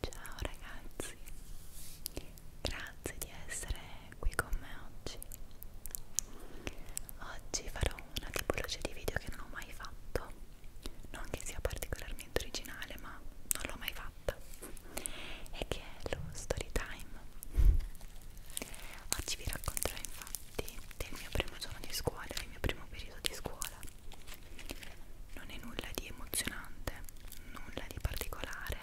Ciao ragazzi, grazie di essere qui con me oggi. Oggi farò una tipologia di video che non ho mai fatto non che sia particolarmente originale ma non l'ho mai fatta e che è lo story time oggi vi racconterò infatti del mio primo giorno di scuola del mio primo periodo di scuola non è nulla di emozionante nulla di particolare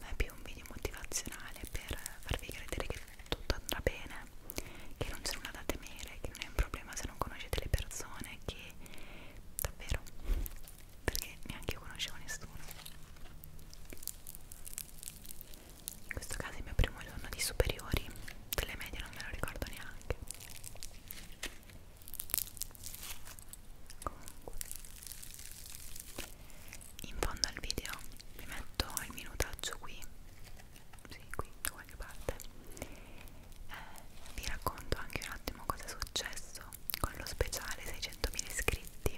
ma è più un video motivazionale per farvi credere che tutto andrà bene che non c'è nulla da temere, che non è un problema se non conoscete le persone, che davvero, perché neanche io conoscevo nessuno. In questo caso è il mio primo giorno di superiori, delle medie non me lo ricordo neanche. Comunque, in fondo al video vi metto il minutaggio qui sì, qui da qualche parte eh, vi racconto anche un attimo cosa è successo con lo speciale 600.000 iscritti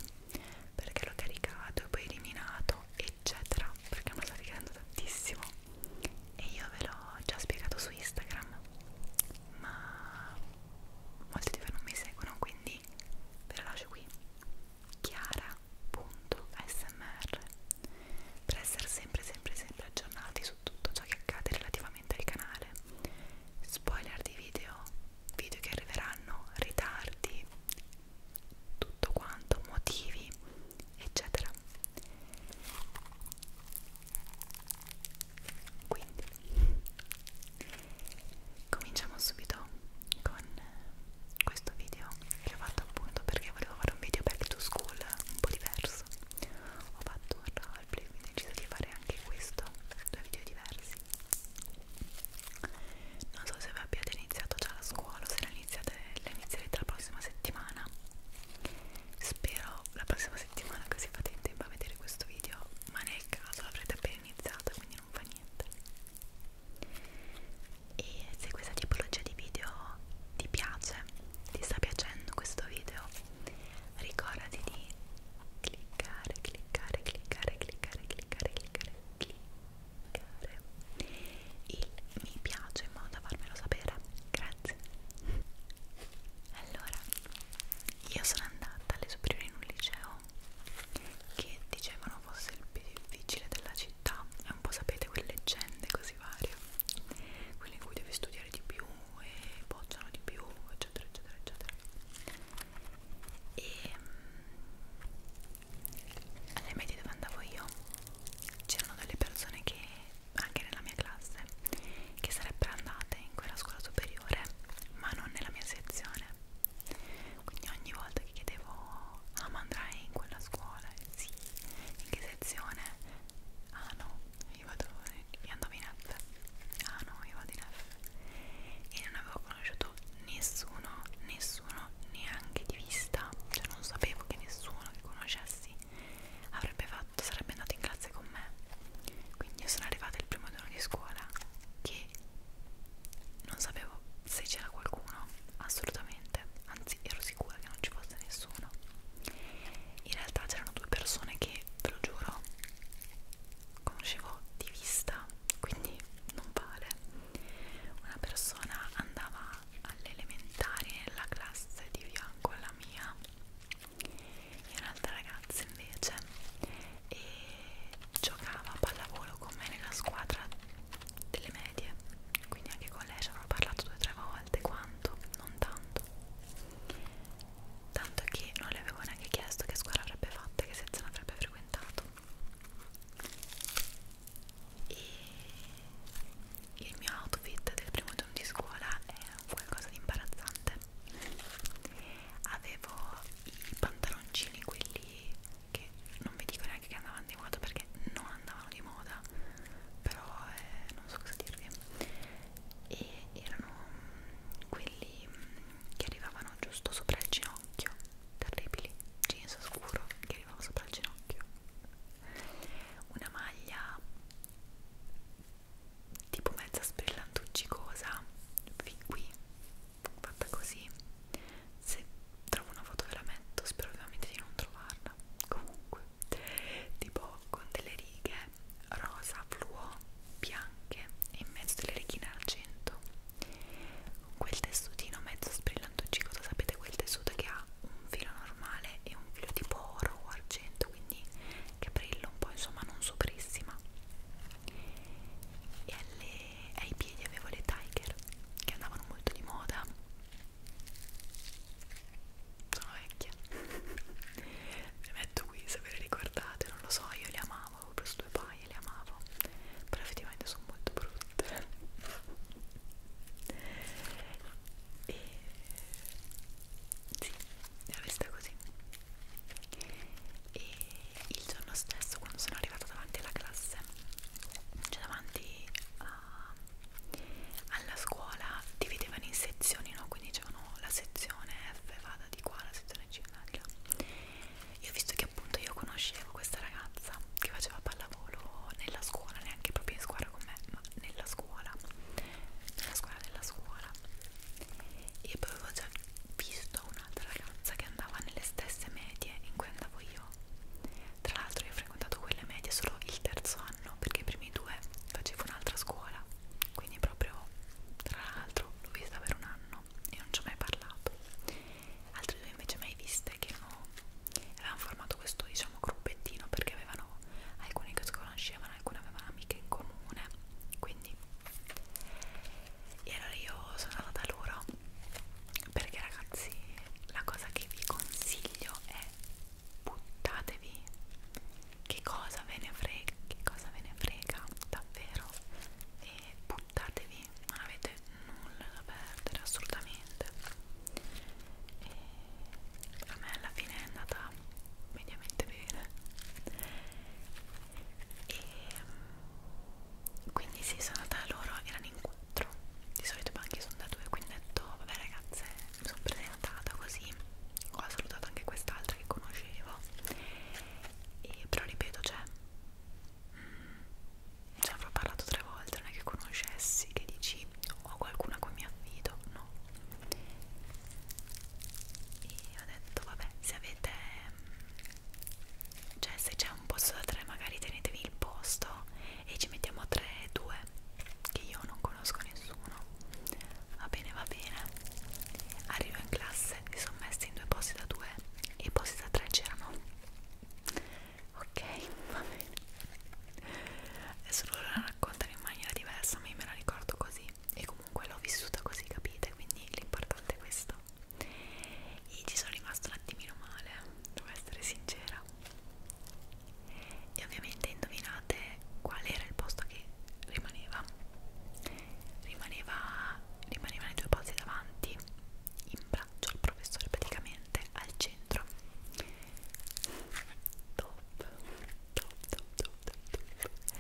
perché l'ho caricato e poi eliminato eccetera perché mi sta richiedendo tantissimo e io ve l'ho già spiegato su Instagram ma molti di voi non mi seguono quindi ve lo lascio qui chiara.smr per essere sempre sempre sempre aggiornati su tutto ciò che accade relativamente al canale spoiler di video video che arriveranno ritardi tutto quanto motivi eccetera quindi cominciamo subito con questo video che ho fatto appunto perché volevo fare un video back to school un po' diverso ho fatto un roleplay quindi ho deciso di fare anche questo due video diversi non so se vi abbiate iniziato già la scuola o se la iniziate la inizierete la prossima settimana spero la prossima settimana così fate in tempo a vedere questo video ma nel caso l'avrete appena iniziato quindi non fa niente e se questa tipologia di video ti piace ti sta piacendo questo video ricordati di cliccare, cliccare, cliccare, cliccare, cliccare, cliccare, cliccare il mi piace in modo da farmelo sapere, grazie allora io sono andata alle superiori in un liceo che dicevano fosse il più difficile della città è un po' sapete quelle leggende così varie quelle in cui devi studiare di più e bocciano di più eccetera eccetera eccetera e mm, alle medie dove andavo io c'erano delle persone che anche nella mia classe che sarebbero andate in quella scuola superiore ma non nella mia sezione quindi ogni volta che chiedevo ah ma andrai in quella scuola? sì, in che direzione ah no, io vado io andavo in F ah no, io vado in F e non avevo conosciuto nessuno nessuno neanche di vista cioè non sapevo che nessuno che conoscessi avrebbe fatto sarebbe andato in classe con me quindi io sono arrivata il primo giorno di scuola che non sapevo se c'era qualcuno assolutamente sicuramente, anzi ero sicura che non ci fosse nessuno. In realtà c'erano due persone che, ve lo giuro, conoscevo di vista, quindi non vale. Una persona andava all'elementare nella classe di fianco alla mia e un'altra ragazza invece e giocava a pallavolo con me nella squadra delle medie quindi anche con lei ci avrò parlato due o tre volte alte quanto, non tanto tanto che non le avevo neanche chiesto che scuola avrebbe fatto e che sezione avrebbe frequentato e il mio outfit del primo giorno di scuola è qualcosa di imbarazzante avevo i pantaloncini quelli che non vi dico neanche che andavano di moda perché non andavano di moda però eh, non so cosa dirvi e erano quelli che arrivavano giusto sopra il ginocchio terribili jeans scuro che arrivava sopra il ginocchio una maglia tipo mezza sbrillantuccicosa fin qui fatta così se trovo una foto ve la metto spero ovviamente di non trovarla comunque tipo con delle righe rosa fluo bianche e in mezzo delle righine argento con quel tessutino mezzo sbrillantoncicoso sapete quel tessuto che ha un filo normale e un filo tipo oro o argento quindi che brilla un po' insomma non soprissima e alle, ai piedi avevo le tiger che andavano molto di moda sono vecchia le metto qui se ve le ricordate non lo so io le amavo avevo preso due paia le amavo però effettivamente sono molto brutte e sì era vista così e il giorno stesso quando sono arrivata davanti alla classe cioè davanti a alla scuola dividevano in sezioni, no? Quindi dicevano la sezione F vada di qua, la sezione C vada di là. Io ho visto che appunto io conoscevo questa ragazza che faceva pallavolo nella scuola, neanche proprio in squadra con me, ma nella scuola, nella scuola della scuola. E poi avevo già visto un'altra ragazza che andava nelle stesse medie in cui andavo io. Tra l'altro io frequentato quelle medie solo il terzo anno perché i primi due facevo un'altra scuola quindi proprio tra l'altro l'ho vista per un anno e non ci ho mai parlato altre due invece mai viste che no, avevano formato questo diciamo gruppettino perché avevano alcune che si conoscevano alcune avevano amiche in comune quindi e allora io sono andata da loro perché ragazzi la cosa che vi consiglio è buttatevi che cosa ve ne frega che cosa ve ne frega davvero e buttatevi non avete nulla da perdere assolutamente e a me alla fine è andata mediamente bene e mm, quindi sì sono andata loro erano in quattro di solito i banchi sono da due quindi ho detto vabbè ragazze mi sono presentata così ho salutato anche quest'altra che conoscevo e, però ripeto cioè mm, ci cioè, avrò parlato tre volte non è che conoscessi che dici ho qualcuna con mi affido no e ho detto vabbè se avete cioè se c'è un posto da tre magari tenetevi il posto e ci mettiamo tre due che io non conosco nessuno Va bene, va bene. Arrivo in classe, li sono messi in due posti da due e i posti da tre c'erano. Ok, va bene. Adesso loro la raccontano in maniera diversa, ma io me la ricordo così. E comunque l'ho vissuta così, capite? Quindi l'importante è questo. E ci sono rimasta un attimino male, devo essere sincera e ovviamente indovinate qual era il posto che rimaneva rimaneva rimanevano i due posti davanti in braccio al professore praticamente al centro top top top top, top, top.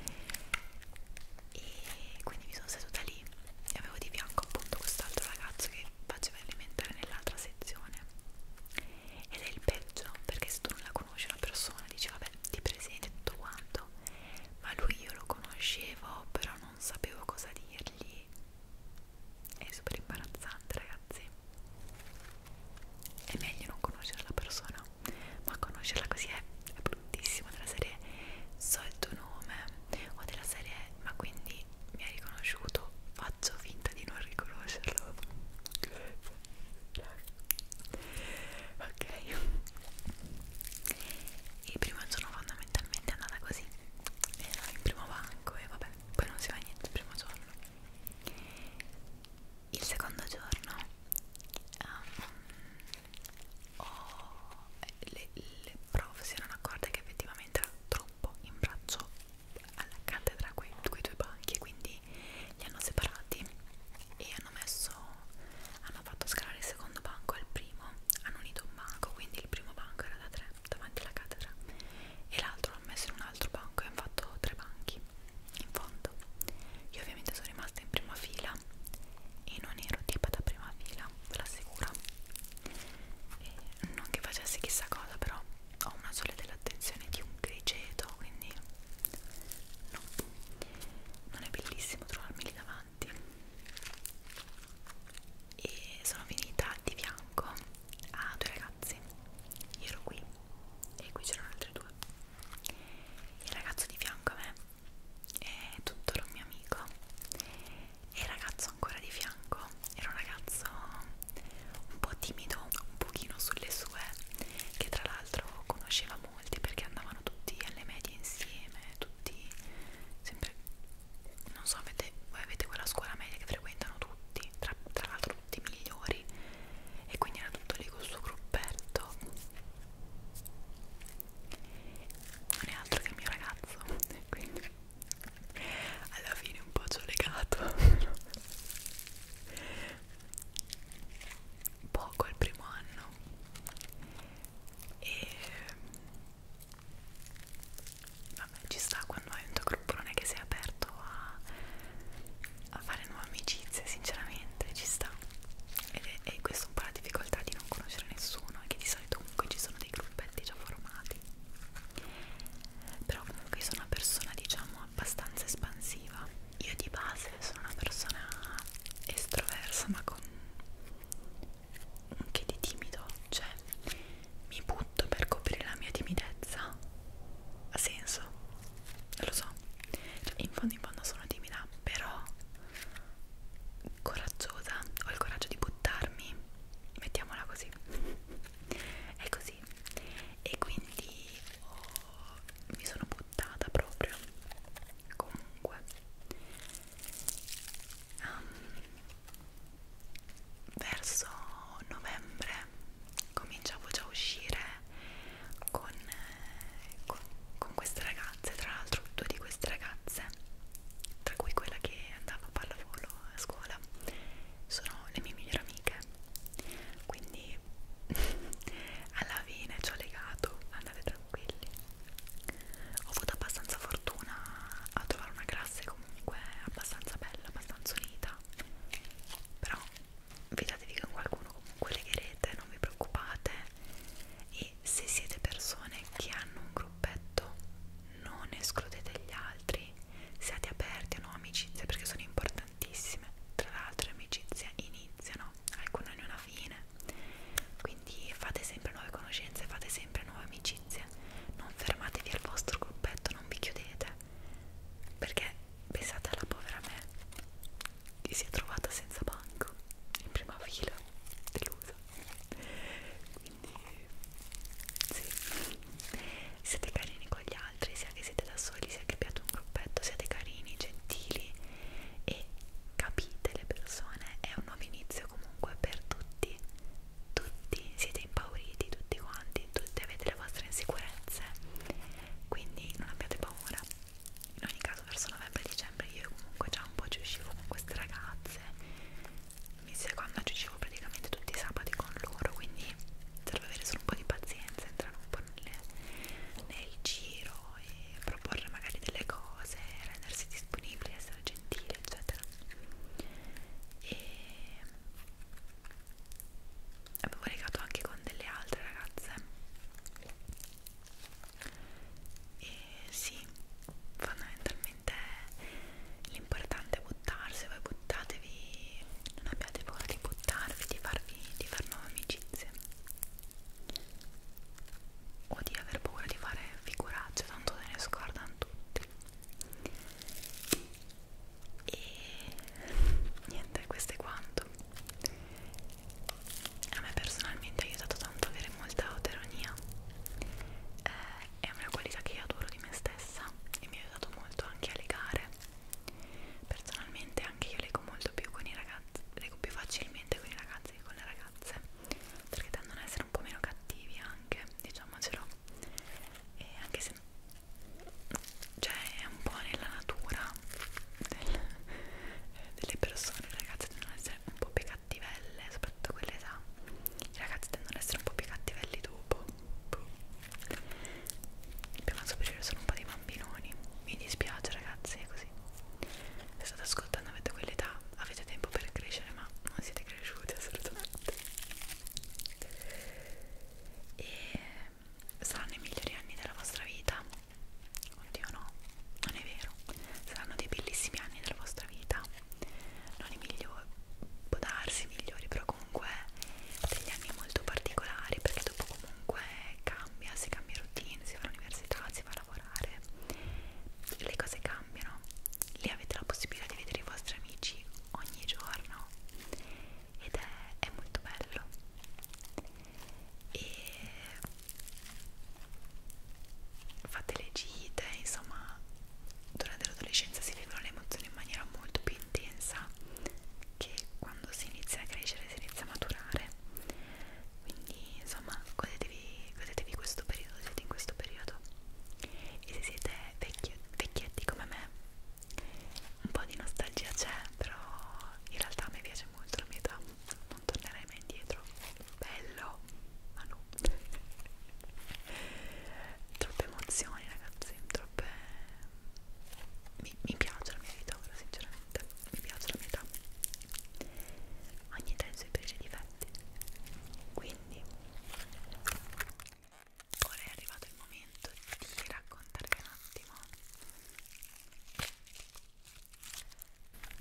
e quindi mi sono seduta lì e avevo di fianco appunto quest'altro ragazzo che faceva elementare nell'altra sezione ed è il peggio perché se tu non la conosci una persona dici vabbè ti presenti tutto quanto ma lui io lo conoscevo però non sapevo cosa dirgli è super imbarazzante ragazzi è meglio non conoscere la persona ma conoscerla così è, è bruttissimo della serie so il tuo nome o della serie ma quindi mi hai riconosciuto faccio finta di non riconoscerlo ok il primo giorno fondamentalmente è andata così era il primo banco e vabbè poi non si fa niente il primo giorno il secondo giorno um, oh, le, le prof si erano accorte che effettivamente era troppo in braccio alla cattedra quei, quei due banchi quindi li hanno separati e hanno messo hanno fatto scalare il secondo banco al primo hanno unito un banco quindi il primo banco era da tre davanti alla cattedra e l'altro l'hanno messo in un altro banco e hanno fatto tre banchi in fondo io ovviamente sono rimasta in prima fila e non ero tipo da prima fila ve l'assicuro e non che facessi chissà cosa però ho una sola dell'attenzione di un grigeto quindi no non è bellissimo trovarmi lì davanti e sono finita di fianco a due ragazzi io ero qui e qui c'erano altre due il ragazzo di fianco a me è tuttora un mio amico e il ragazzo ancora di fianco era un ragazzo un po' timido un pochino sulle sue che tra l'altro l'altro conosceva molti perché andavano tutti alle medie insieme, tutti sempre non so, avete, voi avete quella scuola media che frequentano tutti, tra, tra l'altro tutti i migliori e quindi era tutto lì col suo gruppetto non è altro che il mio ragazzo quindi alla fine un po' ci ho legato poco al primo anno e vabbè ci sta quando hai un tuo gruppone che sei aperto a, a fare nuove amicizie sinceramente ci sta ed è, è questa un po' la difficoltà di non conoscere nessuno che di solito comunque ci sono dei gruppetti già formati però comunque sono una persona diciamo abbastanza espansiva io di base sono una persona estroversa ma con un che di timido, cioè mi butto per coprire la mia timidezza. Ha senso? Lo so. Cioè, in fondo in fondo sono timida, però coraggiosa, ho il coraggio di buttarmi, mettiamola così. È così. E quindi oh, mi sono buttata sfruttata proprio comunque um, verso novembre cominciavo già a uscire con, con, con queste ragazze tra l'altro due di queste ragazze tra cui quella che andava a pallavolo a scuola sono le mie migliori amiche quindi alla fine ci ho legato, andate tranquilli. Ho avuto abbastanza fortuna a trovare una classe comunque abbastanza bella, abbastanza unita. Però fidatevi che con qualcuno comunque legherete, non vi preoccupate. E se siete persone che hanno un gruppetto, non escludete gli altri. Siate aperti a nuove amicizie perché sono importanti tantissime tra l'altro amicizie iniziano alcune hanno una fine quindi fate sempre nuove conoscenze fate sempre nuove amicizie non fermatevi al vostro gruppetto non vi chiudete perché pensate alla povera me che si è trovata senza banco in prima fila delusa quindi sì siete carini con gli altri, sia che siete da soli, sia che abbiate un gruppetto, siate carini, gentili e capite le persone, è un nuovo inizio comunque per tutti, tutti siete impauriti, tutti quanti, tutti avete le vostre insicurezze, quindi non abbiate paura. In ogni caso verso novembre e dicembre io comunque già un po' ci uscivo con queste ragazze, mi seconda ci uscivo praticamente tutti i sabati con loro, quindi serve avere solo un po' di pazienza, entrare un po' nel, nel giro e proporre magari delle cose, rendersi disponibili, essere gentili, eccetera. E avevo legato anche con delle altre ragazze. E sì, fondamentalmente l'importante è buttarsi, voi buttatevi, non abbiate paura di buttarvi, di farvi, di far nuove amicizie o di aver paura di fare figuracce, tanto se ne scordano tutti. E niente, questo è quanto. A me personalmente ha aiutato tanto avere molta autoironia. Eh, è una qualità che io adoro di me stessa e mi ha aiutato molto anche a legare personalmente anche io leggo molto più con i ragazzi leggo più facilmente con i ragazzi che con le ragazze perché tendono ad essere un po' meno cattivi anche diciamocelo e anche se cioè è un po' nella natura del, eh, delle persone le ragazze tendono ad essere un po' più cattivelle soprattutto quell'età i ragazzi tendono ad essere un po' più cattivelli dopo boh prima superiore sono un po' di bambinoni mi dispiace ragazzi è così se state ascoltando avete quell'età avete tempo per crescere ma non siete cresciuti assolutamente e saranno i migliori anni della vostra vita oddio no non è vero saranno dei bellissimi anni della vostra vita non i migliori può darsi i migliori però comunque degli anni molto particolari perché dopo comunque cambia, si cambia routine, si va all'università, si va a lavorare, le cose cambiano, lì avete la possibilità di vedere i vostri amici ogni giorno ed è, è molto bello e fate le gite, insomma durante l'adolescenza si vivono le emozioni in maniera molto più intensa che quando quando si inizia a crescere, si inizia a maturare. Quindi, insomma, godetevi, godetevi questo periodo, siete in questo periodo. E se siete vecchi, vecchietti come me, un po' di nostalgia c'è, però in realtà mi piace molto la mia età, non tornerei mai indietro. Bello, ma no. Troppe emozioni, ragazzi, troppe mi, mi piace la mia vita ora sinceramente mi piace la mia età ogni età ha i suoi pregi e difetti quindi ora è arrivato il momento di raccontarvi un attimo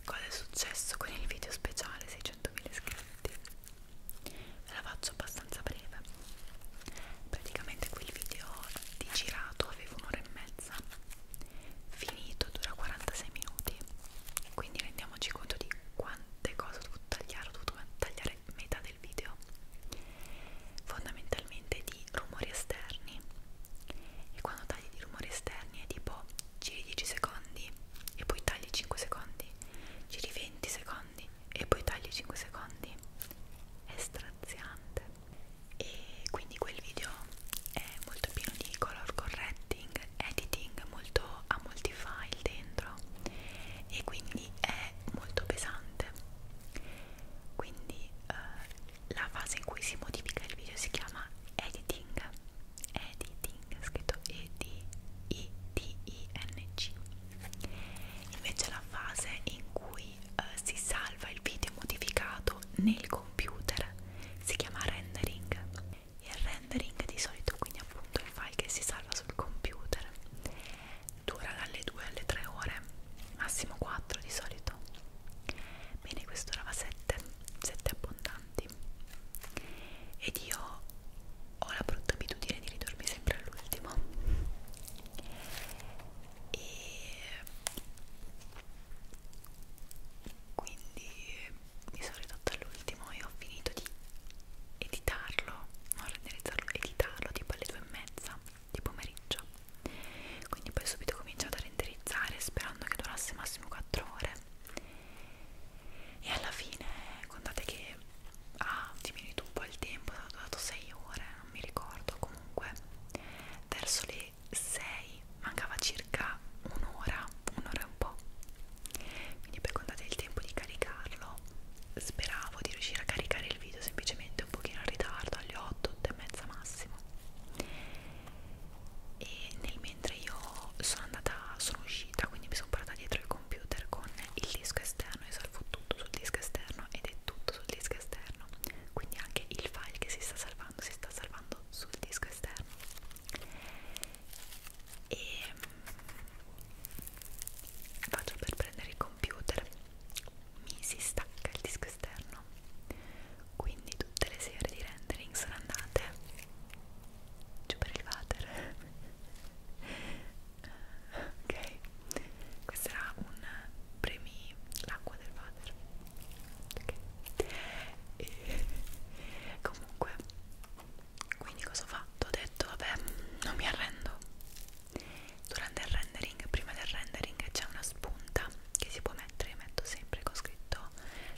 cosa è successo con il video speciale 600.000 iscritti ve la faccio abbastanza breve praticamente quel video di girato avevo un'ora e mezza salsa finito dura 46 minuti quindi rendiamoci conto di quante cose ho dovuto tagliare ho dovuto tagliare metà del video fondamentalmente di rumori esterni e quando tagli di rumori esterni è tipo giri 10 secondi e poi tagli 5 secondi giri 20 secondi e poi tagli 5 secondi è straziante e quindi quel video è molto pieno di color correcting, editing, molto, ha molti file dentro e quindi è molto pesante quindi eh, la fase in cui si modifica il video si chiama editing editing, scritto e d i d i n g invece la fase in cui poi eh, si salva il video modificato nel computer, si chiama rendering il rendering di solito quindi appunto il file che si salva sul computer dura dalle 2 alle 3 ore, massimo 4 di solito bene questo era 7, 7 abbondanti ed io ho la brutta abitudine di ridormi sempre all'ultimo e quindi mi sono ridotta all'ultimo e ho finito di editarlo, non renderizzarlo, editarlo tipo alle due e mezza di pomeriggio quindi poi subito ho cominciato a renderizzare sperando che durasse massimo 4 ore e alla fine contate che ha ah, diminuito un po' il tempo, è dato 6 ore, non mi ricordo comunque verso le alle 6 mancava circa un'ora un'ora e un po' quindi poi contate il tempo di caricarlo speravo di riuscire a caricare il video semplicemente un pochino in ritardo alle 8 8 e mezza massimo e nel mentre io sono andata sono uscita quindi mi sono portata dietro il computer con il disco esterno io salvo tutto sul disco esterno ed è tutto sul disco esterno quindi anche il file che si sta salvando salvando, si sta salvando sul disco esterno e mm, faccio per prendere il computer mi si stacca il disco esterno quindi tutte le serie di rendering sono andate giù per il water ok questo era un premi l'acqua del water ok e comunque quindi cosa ho fatto? Ho detto vabbè non mi arrendo durante il rendering prima del rendering c'è una spunta che si può mettere io metto sempre con scritto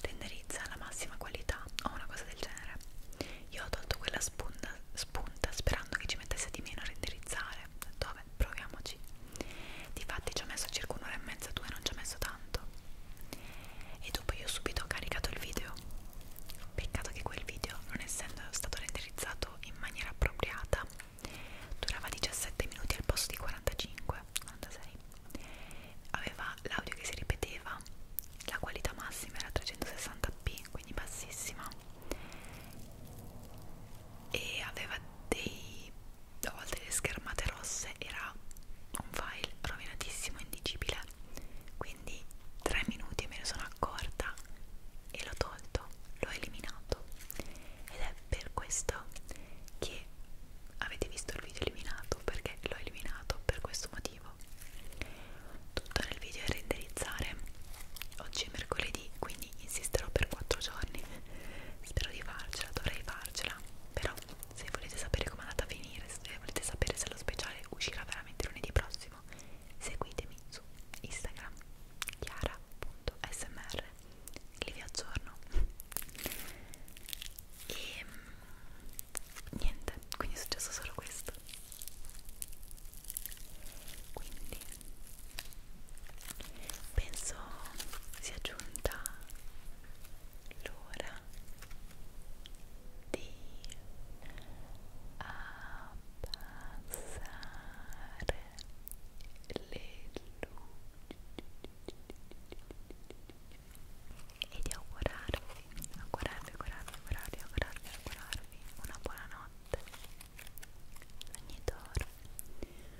renderizza alla massima qualità o una cosa del genere io ho tolto quella spunta, spunta sperando che ci mettesse di meno a renderizzare ho detto vabbè proviamoci difatti ci ho messo circa un'ora e mezza due non ci ho messo tanto e dopo io subito ho caricato il video peccato che quel video non essendo stato renderizzato in maniera appropriata durava 17 minuti al posto di 45 46 aveva l'audio che si ripeteva la qualità massima era 360p quindi bassissima e aveva dei a volte le schermate rosse era un file rovinatissimo, indicibile quindi tre minuti me ne sono accorta e l'ho tolto, l'ho eliminato ed è per questo che avete visto il video eliminato perché l'ho eliminato per questo motivo tutto nel video è renderizzare oggi è mercoledì quindi insisterò per 4 giorni spero di farcela, dovrei farcela farcela però se volete sapere come è andata a finire se volete sapere se lo speciale uscirà veramente lunedì prossimo seguitemi su Instagram chiara.smr lì vi aggiorno e ehm, niente quindi è successo solo questo quindi penso sia giunta l'ora di abbassare le luci e di augurarvi, augurarvi, augurarvi, augurarvi, augurarvi, augurarvi una buona notte ogni d'oro buonanotte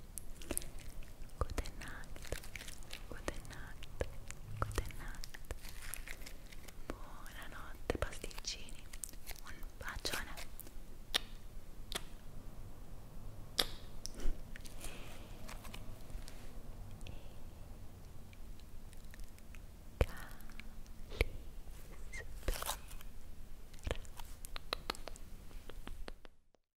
Good night. Good night. Good pasticcini. Un bacione. E